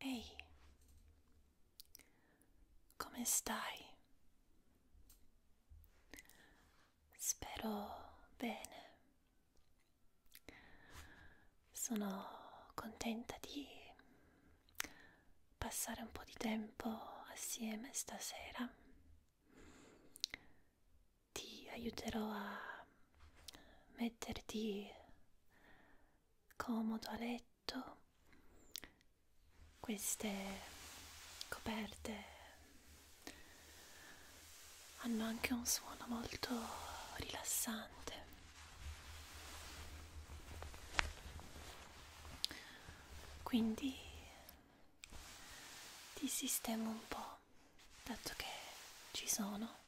Ehi, come stai? Spero bene. Sono contenta di passare un po' di tempo assieme stasera. Ti aiuterò a metterti comodo a letto, queste coperte hanno anche un suono molto rilassante. Quindi ti sistemo un po', dato che ci sono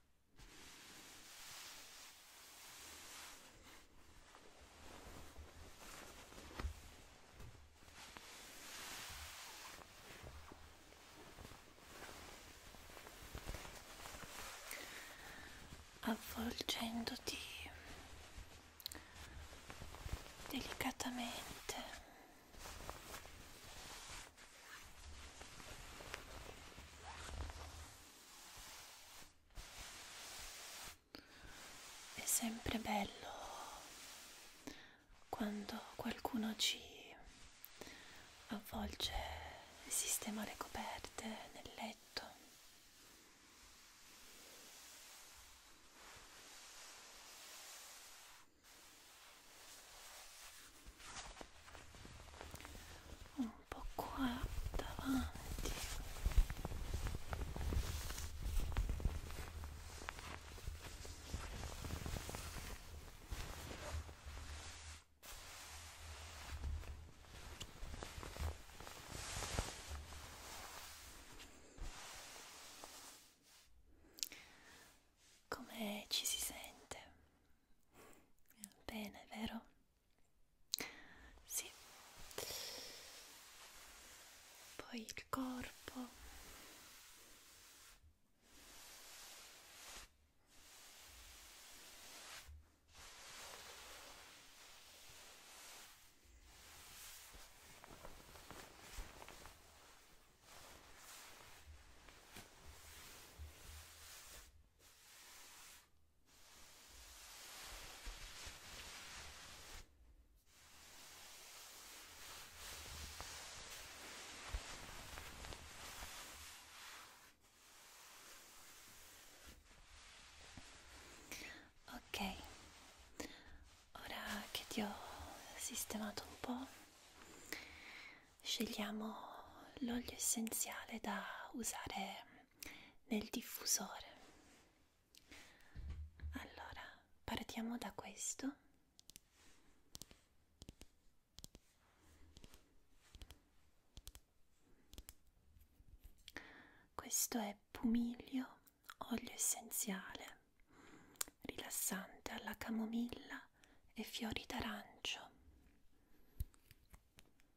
avvolgendoti delicatamente è sempre bello quando qualcuno ci avvolge e sistema le coperte nel letto. Oh, un po' qua davanti come ci si sente? Bene, vero? Sì. Poi il corpo. Ok, ora che ti ho sistemato un po', scegliamo l'olio essenziale da usare nel diffusore allora partiamo da questo questo è pumiglio olio essenziale rilassante alla camomilla e fiori d'arancio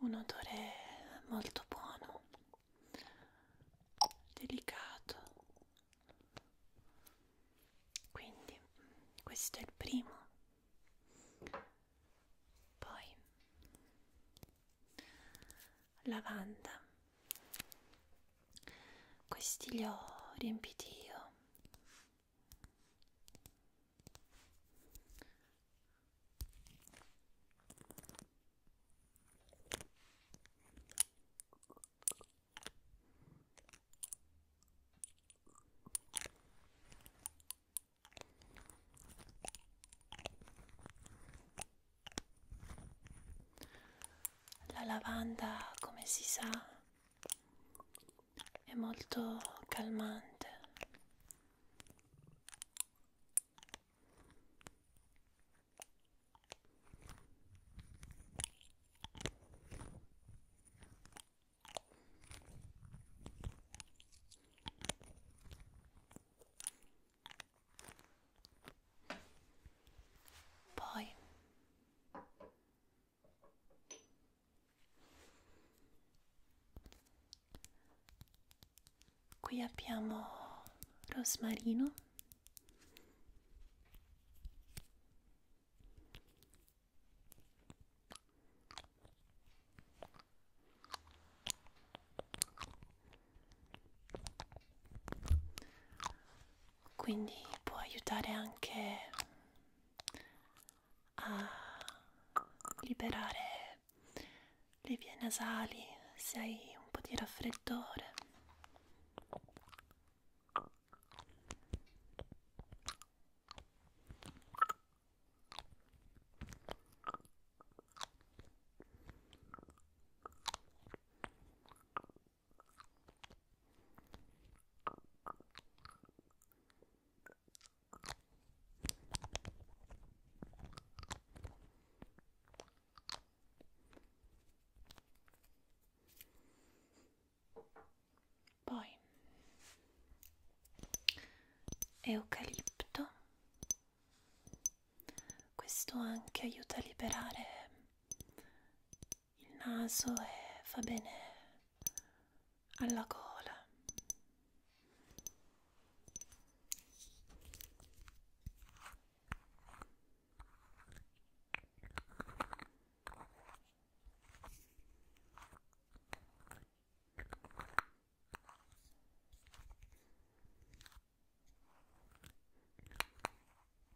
un odore molto buono, delicato. Quindi questo è il primo. Poi lavanda. Questi li ho riempiti io la lavanda, come si sa, è molto calmante poi Qui abbiamo rosmarino, quindi può aiutare anche a liberare le vie nasali se hai un po' di raffreddore. Poi eucalipto. Questo anche aiuta a liberare il naso e fa bene alla gola.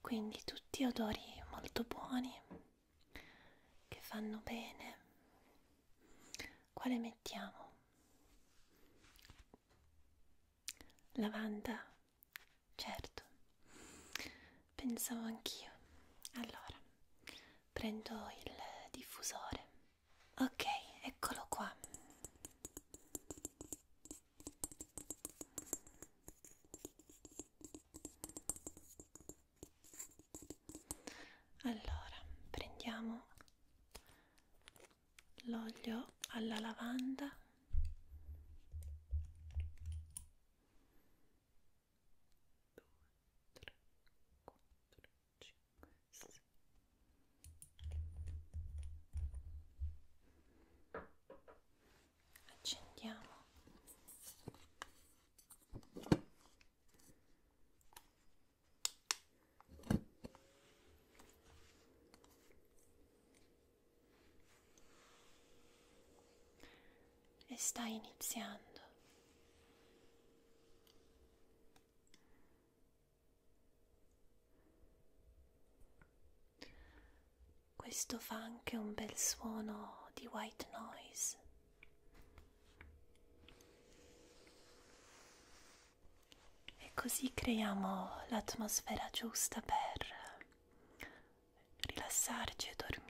Quindi tutti odori molto buoni che fanno bene. Quale mettiamo? Lavanda, certo, pensavo anch'io. Allora, prendo il diffusore Ok, eccolo qua. Allora, prendiamo l'olio alla lavanda. Due, tre, quattro, 5, 6 accendiamo e sta iniziando questo fa anche un bel suono di white noise. E così creiamo l'atmosfera giusta per rilassarci e dormire.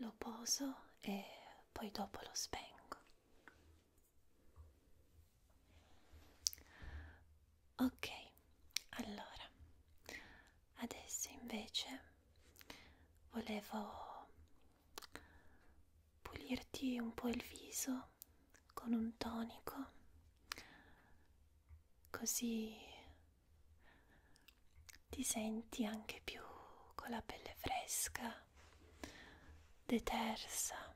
Lo poso e poi dopo lo spengo. Ok, allora, adesso invece volevo pulirti un po' il viso con un tonico, così ti senti anche più con la pelle fresca detersa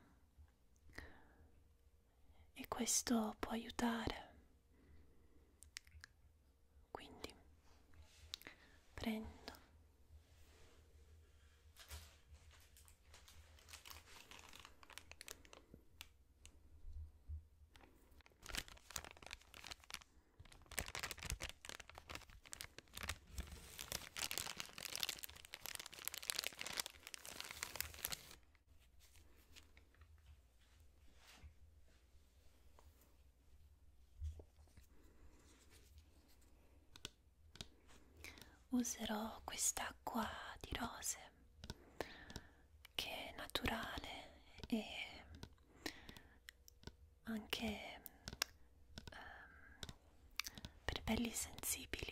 e questo può aiutare. Quindi prendo Userò quest'acqua di rose che è naturale e anche um, per pelli sensibili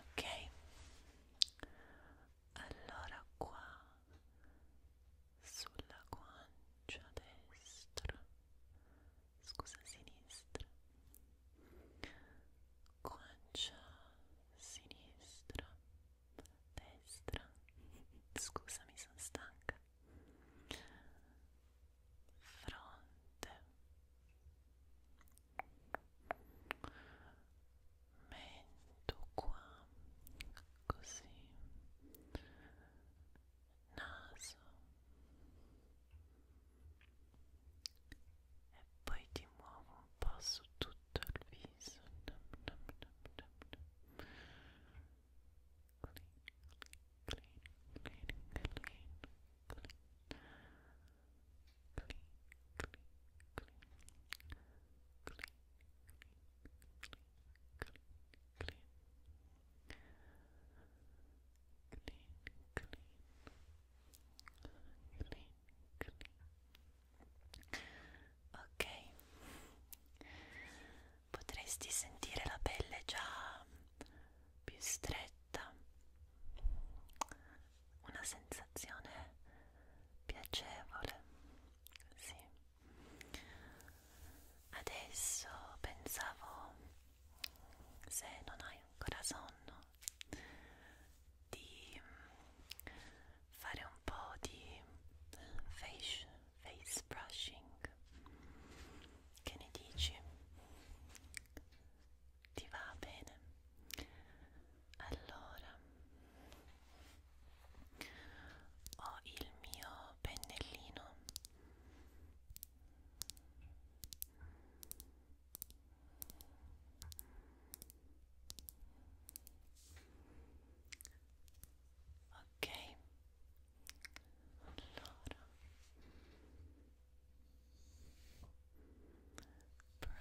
ok allora qua sulla guancia destra scusa sinistra guancia sinistra destra scusa mi sono stanca fronte mento qua così naso e poi ti muovo un po' su tutto il viso nom, nom, nom, nom, nom. Clean, clean, clean, clean, clean ok potresti sentire la pelle già più stretta, una sensazione piacevole, sì. Adesso pensavo, se non hai ancora sonno, di fare un po' di face, face brushing. Che ne dici? ti va bene allora ho il mio pennellino ok allora brush,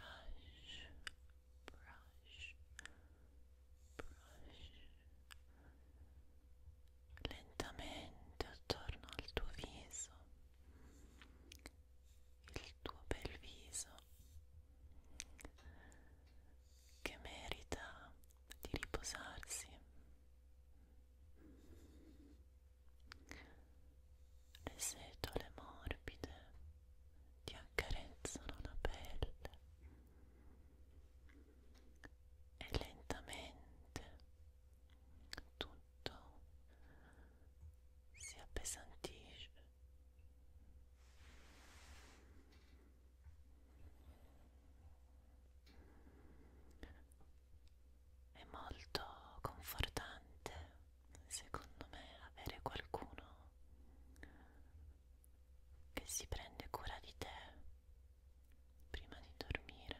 brush, brush lentamente attorno al tuo viso, il tuo bel viso che merita di riposarsi. Le setole morbide ti accarezzano la pelle e lentamente tutto si appesantisce. è molto confortante secondo me avere qualcuno che si prende cura di te prima di dormire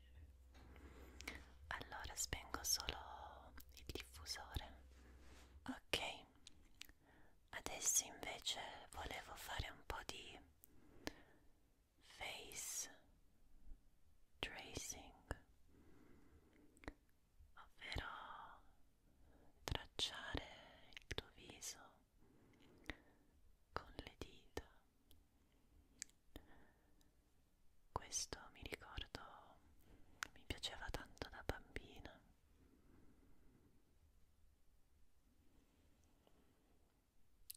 allora spengo solo il diffusore ok adesso invece volevo fare un po' di face tracing ovvero tracciare il tuo viso con le dita questo mi ricordo mi piaceva tanto da bambina.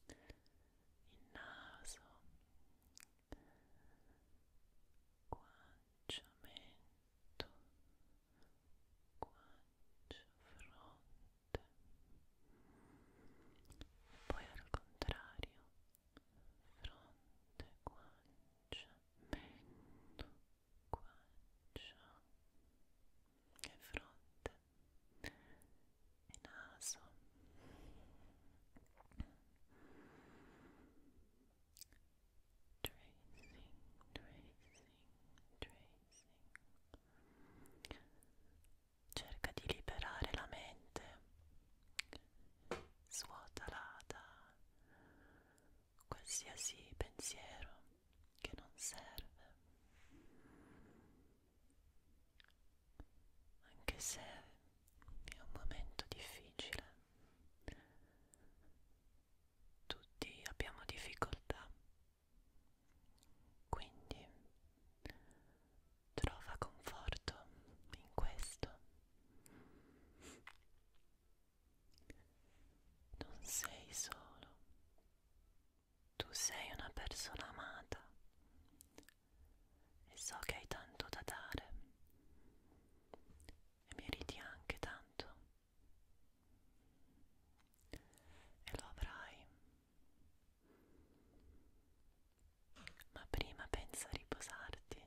Il naso, guancia, mento, guancia, fronte. Poi al contrario fronte, guancia, mento, guancia e fronte e naso tracing, tracing, tracing cerca di liberare la mente Svuotala da qualsiasi pensiero che non serve, anche se è un momento difficile. Tutti abbiamo difficoltà, quindi trova conforto in questo. Non sei solo, tu sei una persona amata e so che hai tanto da dare e meriti anche tanto e lo avrai ma prima pensa a riposarti.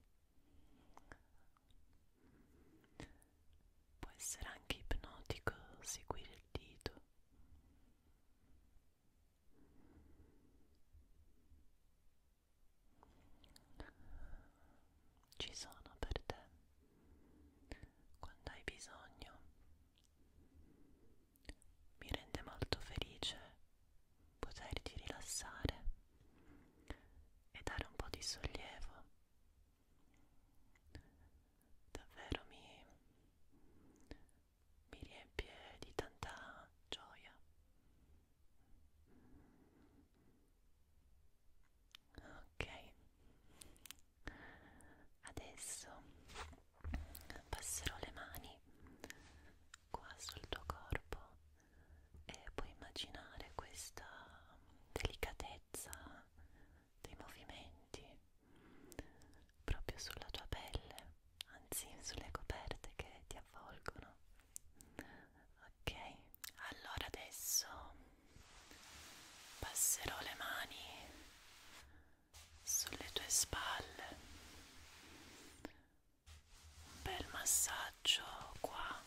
Può essere anche ipnotico seguire il dito. Ci sono per te quando hai bisogno. Mi rende molto felice poterti rilassare e dare un po' di sollievo. Davvero mi, mi riempie di tanta gioia. Ok, adesso passerò le mani qua sul tuo corpo e puoi immaginare questa delicatezza dei movimenti proprio sulla tua pelle, anzi sulle coperte che ti avvolgono. Ok, allora adesso passerò le mani sulle tue spalle un bel massaggio qua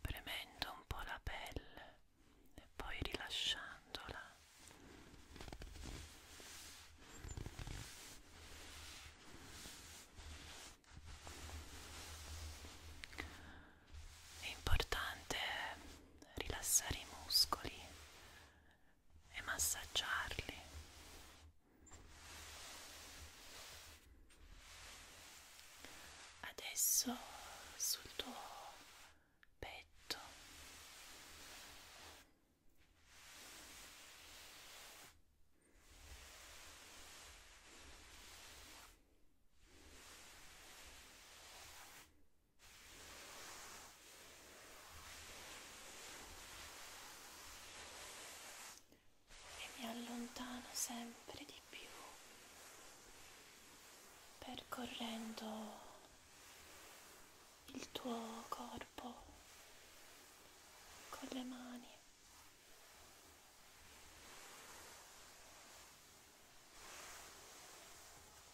premendo un po' la pelle e poi rilasciandola è importante rilassare i muscoli e massaggiarli. Adesso sul tuo petto e mi allontano sempre di più percorrendo il tuo corpo con le mani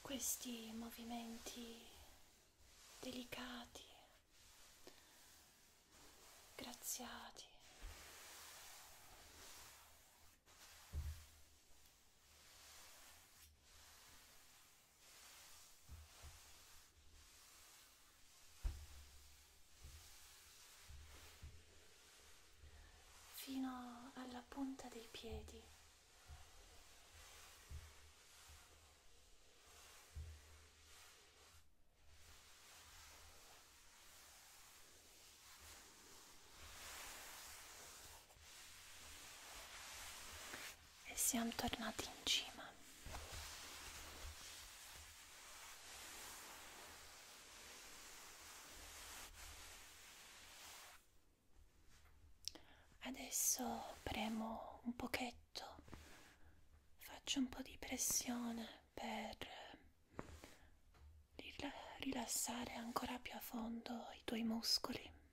Questi movimenti delicati, graziati, fino alla punta dei piedi e siamo tornati in cima. Adesso premo un pochetto, faccio un po' di pressione per rilassare ancora più a fondo i tuoi muscoli.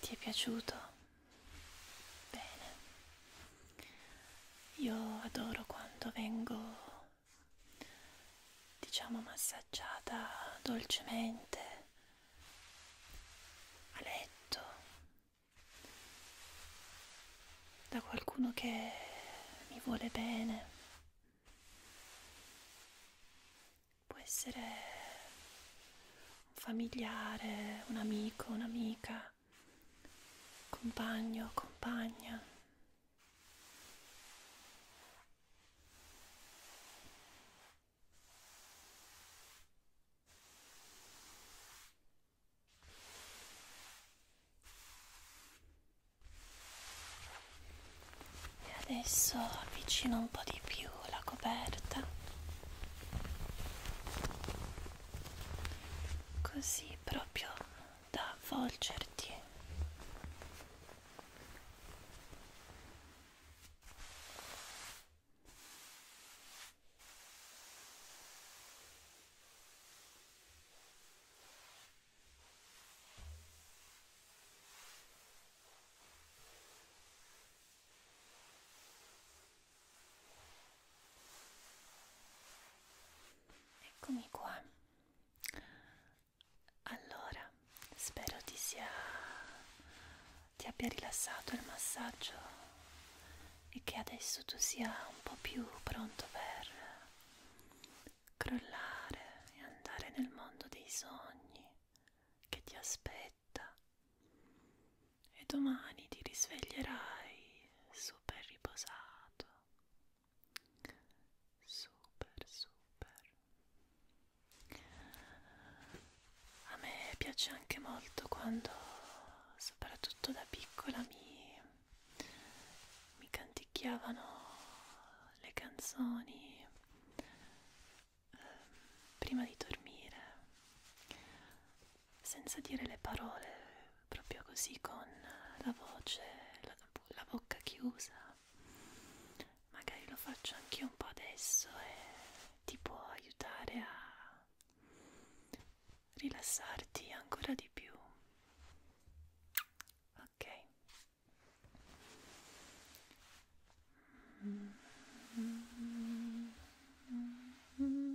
Ti è piaciuto? Bene. Io adoro quando vengo, diciamo, massaggiata dolcemente a letto da qualcuno che mi vuole bene. Può essere un familiare, un amico, un'amica, compagno, compagna. E adesso avvicino un po' di più la coperta, così proprio da avvolgerti. Eccomi qua. Allora, spero ti sia ti abbia rilassato il massaggio e che adesso tu sia un po' più pronto per crollare e andare nel mondo dei sogni che ti aspetta e domani ti risveglierai super riposato, super super. A me piace anche molto quando, soprattutto da piccola, mi mi canticchiavano le canzoni eh, prima di dormire senza dire le parole proprio così con la voce la, la bocca chiusa magari lo faccio anche un po' adesso e ti può aiutare a rilassarti ancora di più. Ok. Mm -hmm. Mm -hmm. Mm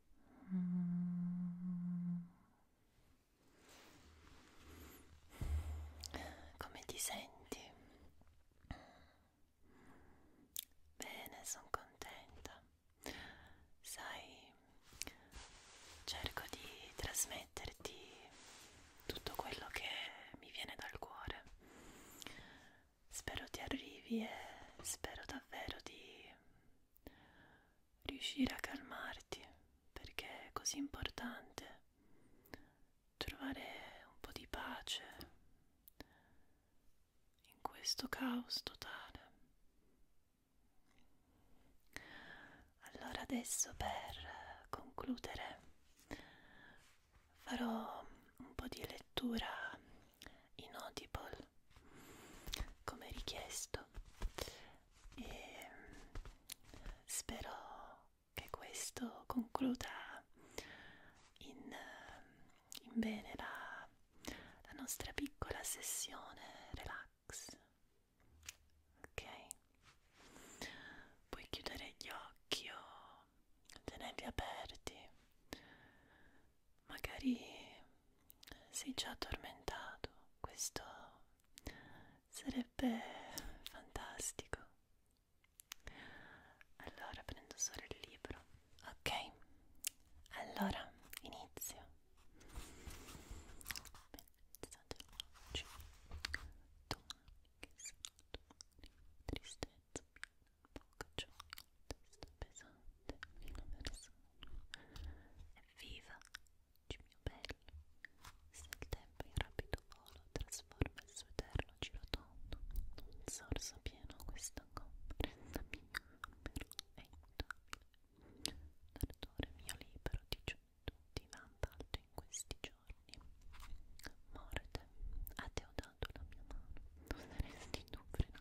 Mm. Come ti senti? Bene, sono contenta. Sai, cerco di trasmetterti tutto quello che mi viene dal cuore spero ti arrivi e spero davvero di riuscire a calmarti perché è così importante trovare un po' di pace in questo caos totale. Allora adesso per concludere farò un po' di lettura inaudible come richiesto e spero che questo concluda in, in bene la, la nostra piccola sessione relax ok puoi chiudere gli occhi o tenerli aperti magari sei già addormentato, questo sarebbe fantastico. Allora prendo solo il libro, ok? Allora inizio. Tristezza, poco gioia, cioè, testa pesante, fino verso Evviva, cimio bello, se il tempo in rapido volo trasforma il suo eterno giro tondo, un sorso pieno questa gomma, resta mio, però è immutabile. L'ardore mio libero di gioventù divampa alto in questi giorni. Morte, a te ho dato la mia mano, non saresti tu frenato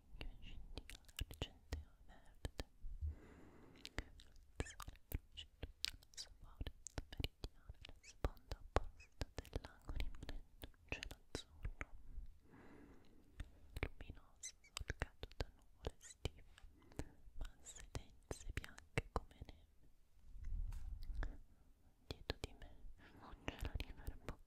scintilla argenteo verde il sole brucia tutta la sua forza meridiana la sponda opposta del lago rimanendo un cielo azzurro luminoso solcato da nuvole stive masse dense bianche come neve dietro di me un cielo riverberato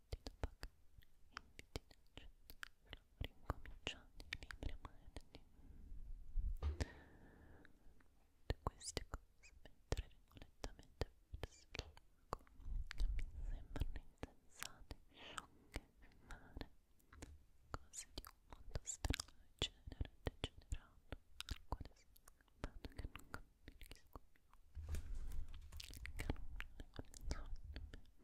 battito pagano e invidinaccio ricominciando i libri moderni. Tutte queste cose, mentre vengo lentamente verso il lago, mi sembrano insensate, sciocche e vane, cose di un mondo strano e genere degenerato, al quale sono arrivato che non capisco più. Che non è, non è, non è, non è.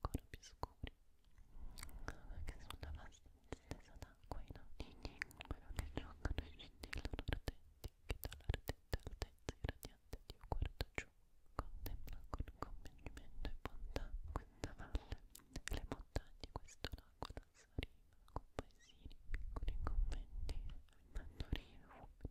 ancora più scuri perché sono abbastanza stessa d'acqua i nonnini quello che giocano scendi il loro ardenti che dall'ardente altezza irradiante Dio guarda giù contempla con convincimento e bontà questa valle e le montagne questo lago la saliva con paesini piccoli conventi mandorino uomini